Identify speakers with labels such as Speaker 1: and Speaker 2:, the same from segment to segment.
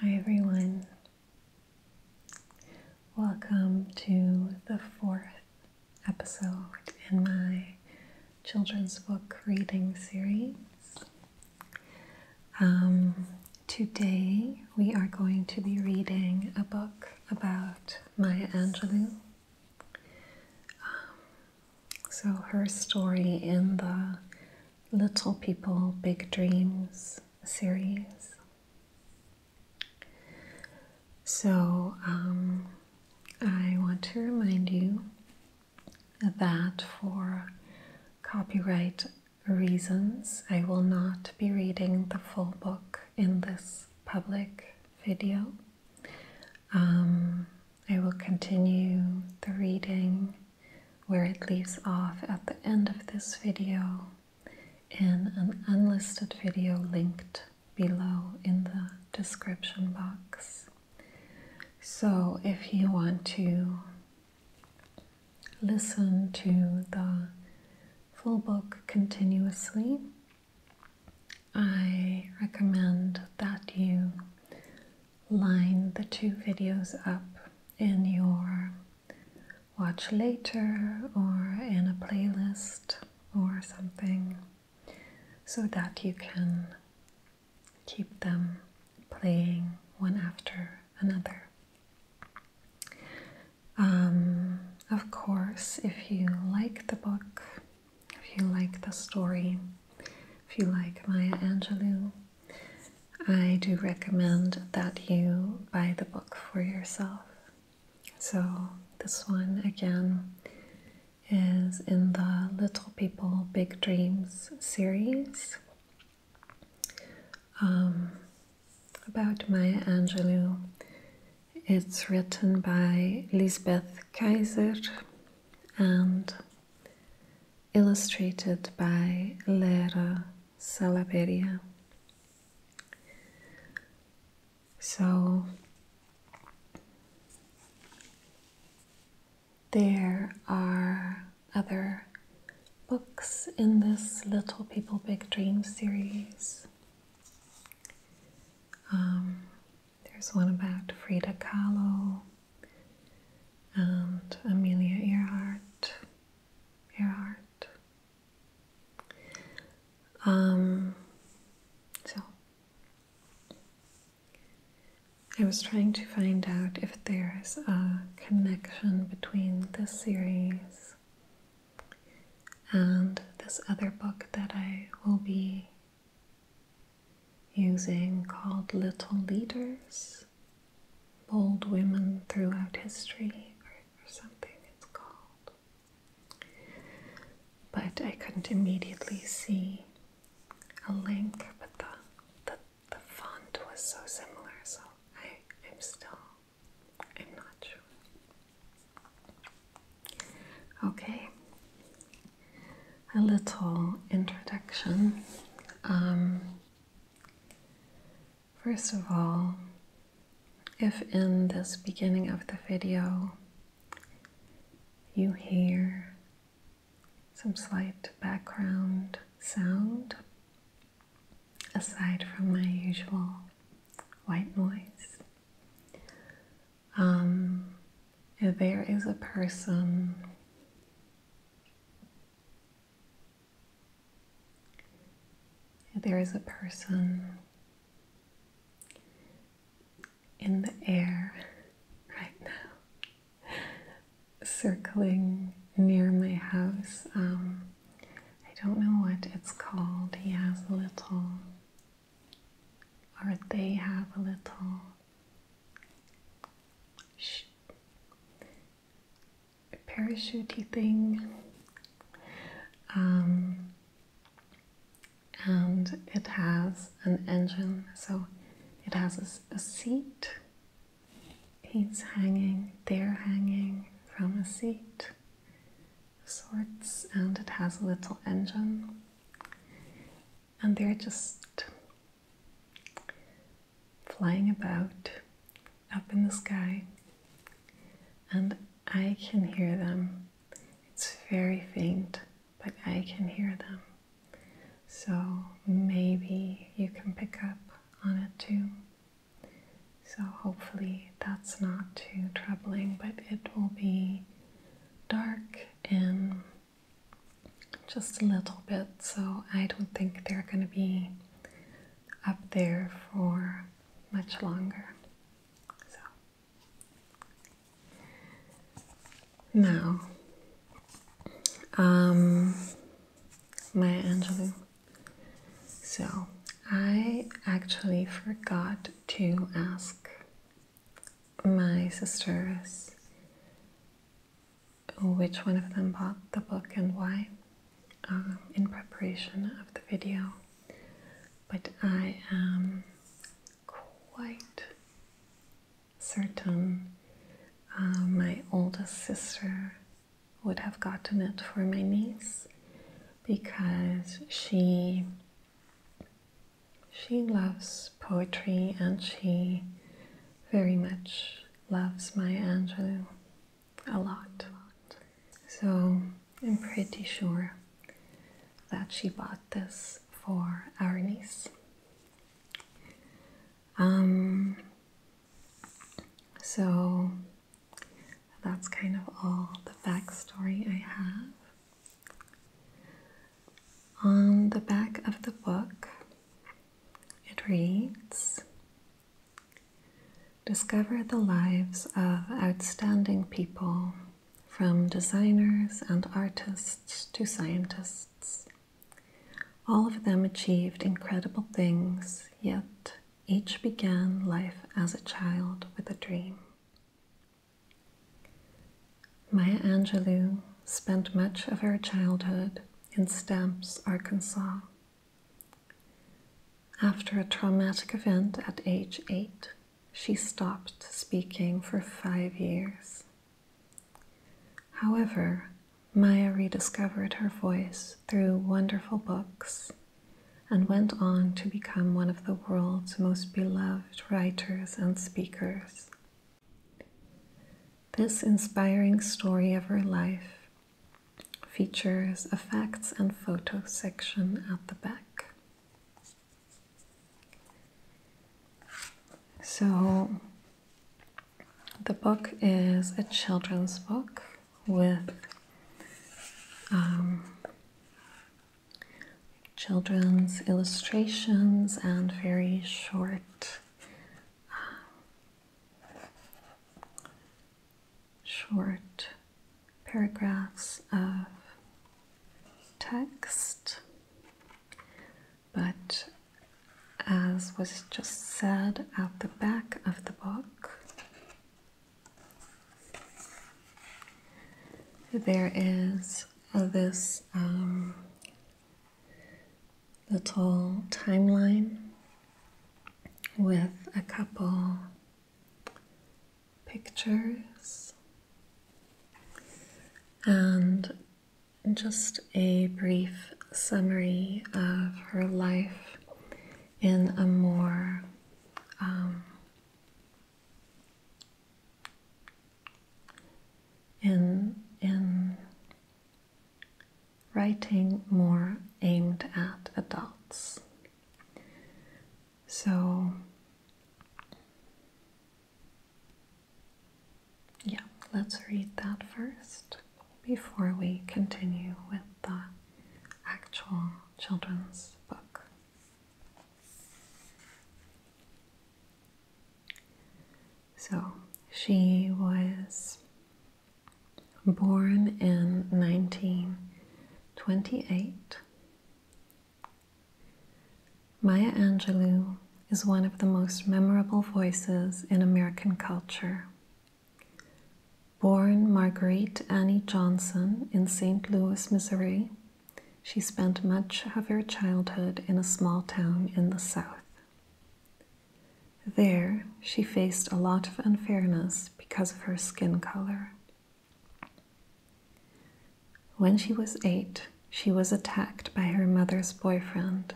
Speaker 1: Hi everyone. Welcome to the fourth episode in my children's book reading series. Um, today we are going to be reading a book about Maya Angelou. Um, so, her story in the Little People, Big Dreams series. So, um, I want to remind you that for copyright reasons, I will not be reading the full book in this public video. Um, I will continue the reading where it leaves off at the end of this video in an unlisted video linked below in the description box. So if you want to listen to the full book continuously, I recommend that you line the two videos up in your watch later or in a playlist or something so that you can keep them playing one after another. Um, of course, if you like the book, if you like the story, if you like Maya Angelou, I do recommend that you buy the book for yourself. So, this one again is in the Little People Big Dreams series um, about Maya Angelou. It's written by Lisbeth Kaiser and illustrated by Lara Salaveria. So there are other books in this Little People Big Dream series. Um, there's one about Frida Kahlo, and Amelia Earhart. Earhart. Um, so I was trying to find out if there is a connection between this series and this other book that I will be using called little leaders, bold women throughout history, or, something it's called. But I couldn't immediately see a link, but the, the, the font was so similar, so I, I'm still, I'm not sure. Okay, a little introduction. Um, first of all, if in this beginning of the video you hear some slight background sound, aside from my usual white noise, um, there is a person there is a person in the air right now, circling near my house. Um, I don't know what it's called. He has a little, or they have a little a Parachutey thing, um, and it has an engine, so it has a, seat. He's hanging, they're hanging from a seat of sorts, and it has a little engine, and they're just flying about up in the sky, and I can hear them. It's very faint, but I can hear them. So maybe you can pick up on it too. So hopefully that's not too troubling, but it will be dark and just a little bit, so I don't think they're going to be up there for much longer. So now, um, Maya Angelou. So I actually forgot to ask my sisters which one of them bought the book and why um, in preparation of the video. But I am quite certain uh, my oldest sister would have gotten it for my niece because she she loves poetry and she very much loves my Angelou a lot. So I'm pretty sure that she bought this for our niece. Um, so that's kind of all the backstory I have. On the back of the book, it reads Discover the lives of outstanding people, from designers and artists to scientists. All of them achieved incredible things, yet each began life as a child with a dream. Maya Angelou spent much of her childhood in Stamps, Arkansas. After a traumatic event at age eight, she stopped speaking for five years. However, Maya rediscovered her voice through wonderful books and went on to become one of the world's most beloved writers and speakers. This inspiring story of her life features a facts and photos section at the back. So, the book is a children's book with um, children's illustrations and very short short paragraphs of text, but as was just said at the back of the book, there is this um, little timeline with a couple pictures and just a brief summary of her life in a more um, in in writing more aimed at adults. So, yeah, let's read that first before we continue with the actual children's book. So, she was born in 1928. Maya Angelou is one of the most memorable voices in American culture. Born Marguerite Annie Johnson in St. Louis, Missouri, she spent much of her childhood in a small town in the South. There, she faced a lot of unfairness because of her skin color. When she was eight, she was attacked by her mother's boyfriend,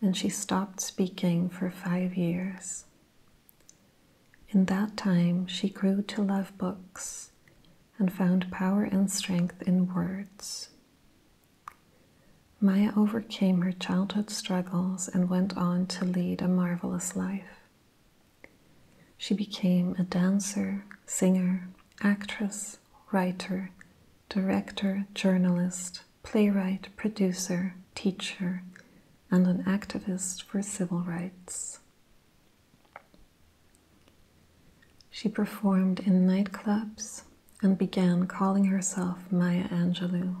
Speaker 1: and she stopped speaking for five years. In that time, she grew to love books and found power and strength in words. Maya overcame her childhood struggles and went on to lead a marvelous life. She became a dancer, singer, actress, writer, director, journalist, playwright, producer, teacher, and an activist for civil rights. She performed in nightclubs and began calling herself Maya Angelou.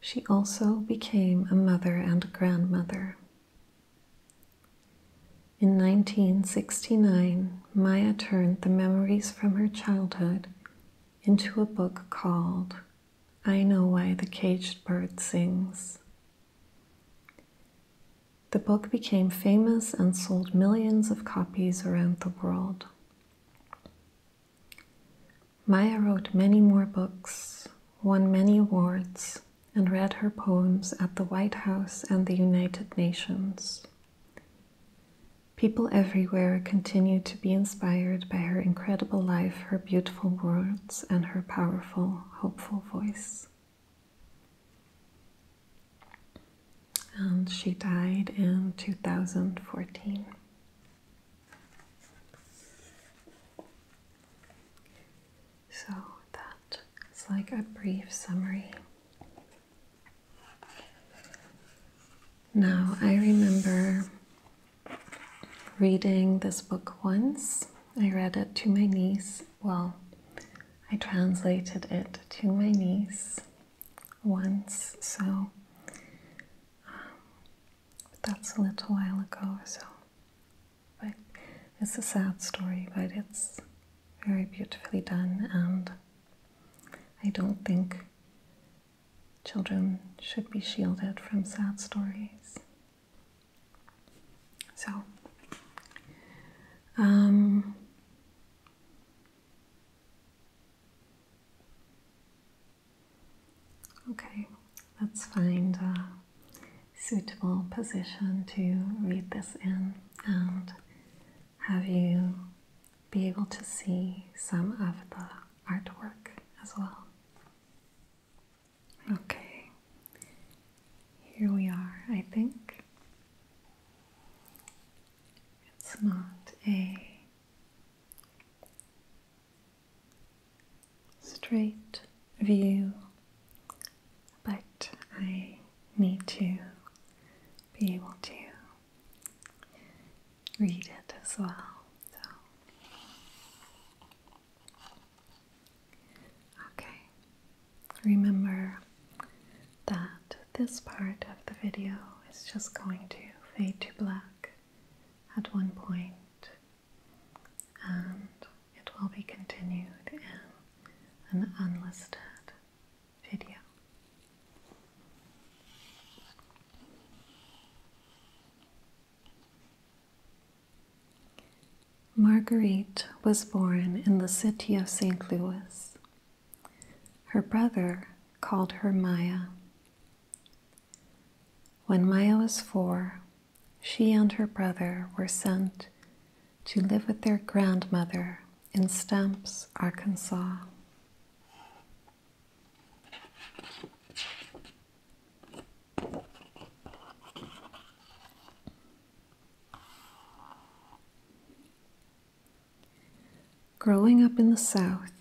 Speaker 1: She also became a mother and grandmother. In 1969, Maya turned the memories from her childhood into a book called I Know Why the Caged Bird Sings. The book became famous and sold millions of copies around the world. Maya wrote many more books, won many awards, and read her poems at the White House and the United Nations. People everywhere continue to be inspired by her incredible life, her beautiful words, and her powerful, hopeful voice and she died in 2014. So that is like a brief summary. Now, I remember reading this book once. I read it to my niece. Well, I translated it to my niece once, so um, that's a little while ago, so but it's a sad story, but it's very beautifully done, and I don't think children should be shielded from sad stories. So, um, Okay, let's find a suitable position to read this in and have you be able to see some of the artwork as well. Okay, here we are, I think. It's not a straight view, but I need to be able to read it as well. So, okay, remember that this part of the video is just going to fade to black at one point and it will be continued in an unlisted video. Marguerite was born in the city of St. Louis her brother called her Maya. When Maya was four, she and her brother were sent to live with their grandmother in Stamps, Arkansas. Growing up in the South,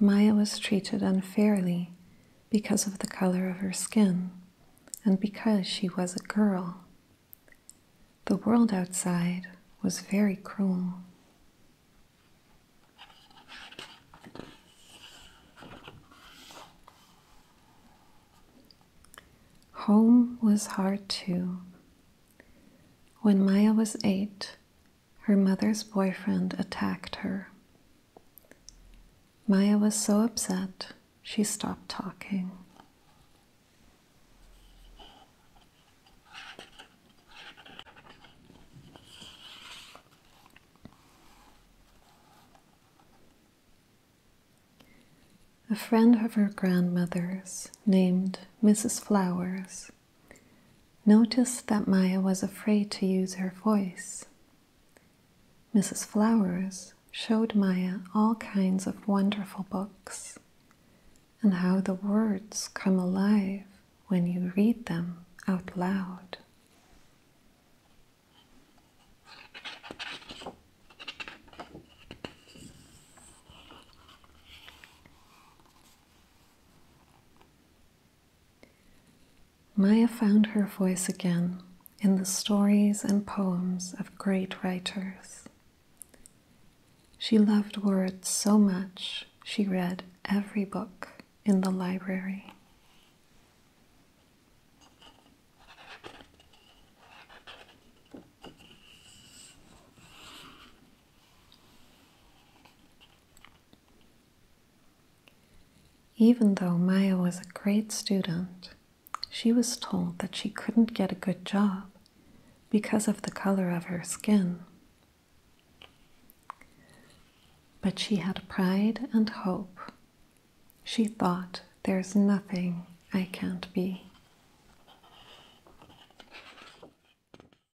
Speaker 1: Maya was treated unfairly because of the color of her skin and because she was a girl. The world outside was very cruel. Home was hard too. When Maya was eight, her mother's boyfriend attacked her. Maya was so upset, she stopped talking. A friend of her grandmother's, named Mrs. Flowers, Notice that Maya was afraid to use her voice. Mrs. Flowers showed Maya all kinds of wonderful books and how the words come alive when you read them out loud. Maya found her voice again in the stories and poems of great writers. She loved words so much she read every book in the library. Even though Maya was a great student, she was told that she couldn't get a good job because of the color of her skin. But she had pride and hope. She thought, there's nothing I can't be.